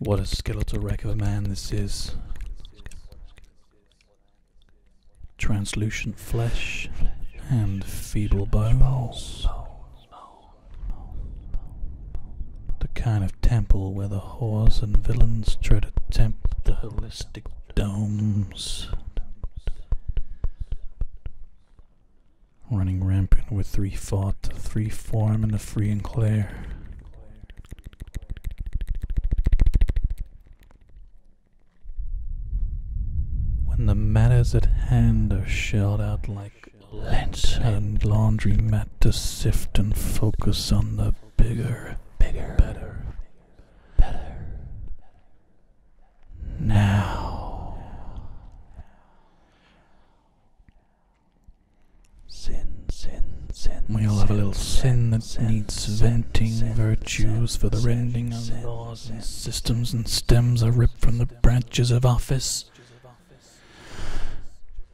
What a skeletal wreck of a man this is. Translucent flesh and feeble bones. The kind of temple where the whores and villains try to tempt the holistic domes. Running rampant with three thought, three form, and the free and clear. When the matters at hand are shelled out like lens and laundry mat to sift and focus on the bigger, bigger, better, better. Now, sin, sin, sin. We all have a little sin that needs venting. Virtues for the rending of laws and systems and stems are ripped from the branches of office.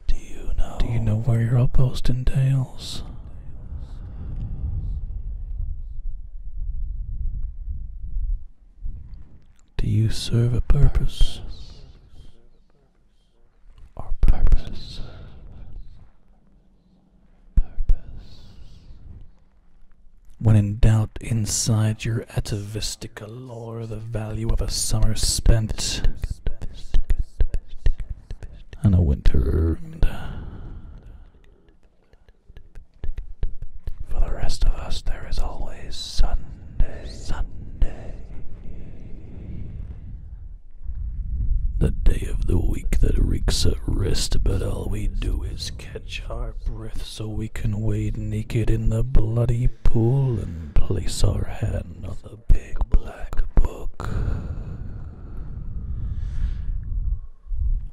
Do you know? Do where your outpost entails? Do you serve a purpose? Or purposes? Purpose. When in doubt inside your atavistic lore, the value of a summer spent and a winter earned. For the rest of us, there is always Sunday, Sunday, the day of the week that reeks of rest, but all we do is catch our breath so we can wade naked in the bloody pool and place our hand on the big black book.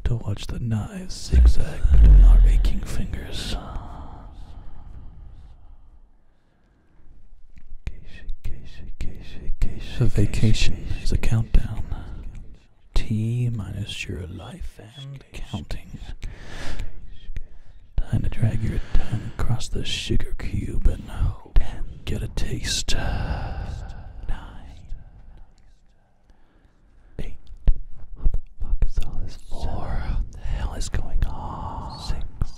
To watch the knives zigzag between our aching fingers. A vacation is a countdown. T minus your life and counting. Time to drag your tongue across the sugar cube and get a taste. Nine. Eight. What the fuck is all this for? the hell is going on? Six.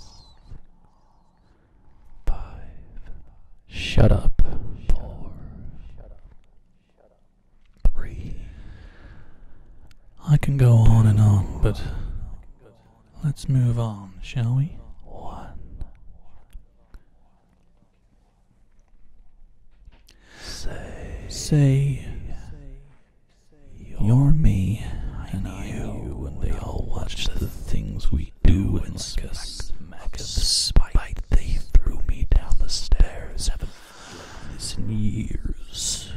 Five. Shut up. Four. Shut up. Three. I can go on and on, but let's move on, shall we? One. Say, say, you're me, and I you, they all watch the things we do and discuss. Smack, smack they threw me down the stairs and years.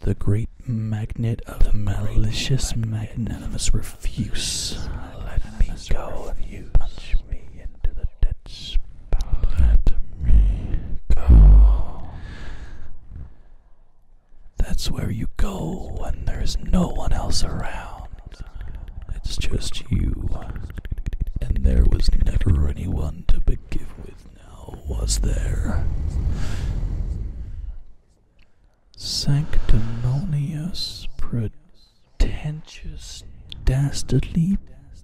The great magnet of malicious magnanimous refuse. Let me go you. punch me into the dead spot. Let me go. That's where you go when there's no one else around. It's just you. And there was never anyone to begin with now, was there? Sanctimonious, pretentious, dastardly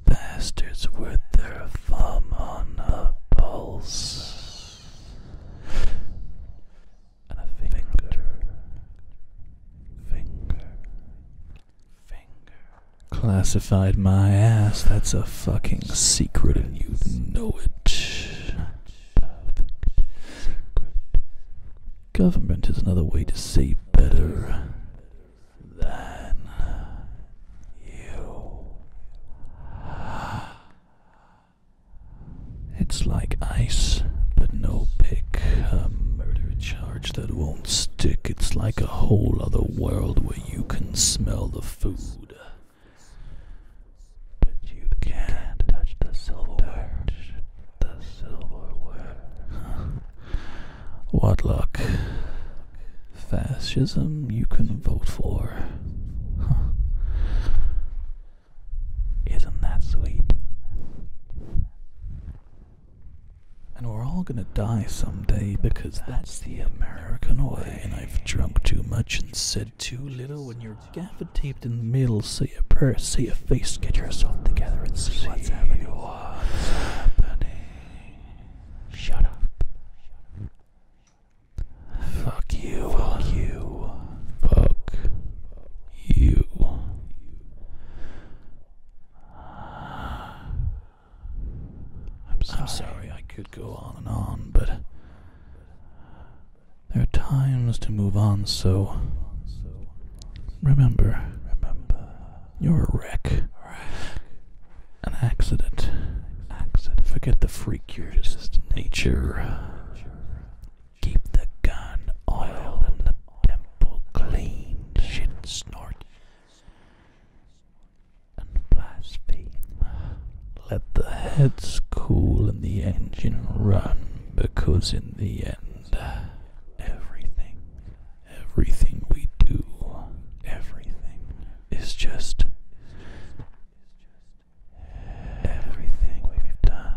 bastards with their thumb on the pulse Classified my ass. That's a fucking secret, and you know it. Government is another way to say better than you. It's like ice, but no big uh, murder charge that won't stick. It's like a whole other world where you can smell the food. But you can't Touch the silverware. what luck. Fascism you can vote for. Huh. Isn't that sweet? And we're all gonna die someday because that's the American way. And I've drunk too much and said too little. When you're gaffer taped in the middle, see a purse, see a face, get yourself together and see, see what's happening. What's happening? Shut up. Fuck you. Fuck you. Fuck you. I'm sorry. i sorry I could go on and on, but there are times to move on, so remember, remember, you're a wreck. An accident. Forget the freak, you're just nature. Keep the gun oil and the temple clean. Shit snort and blaspheme. Let the heads cool and the engine run, because in the end, everything, everything we do, everything is just. Everything we've done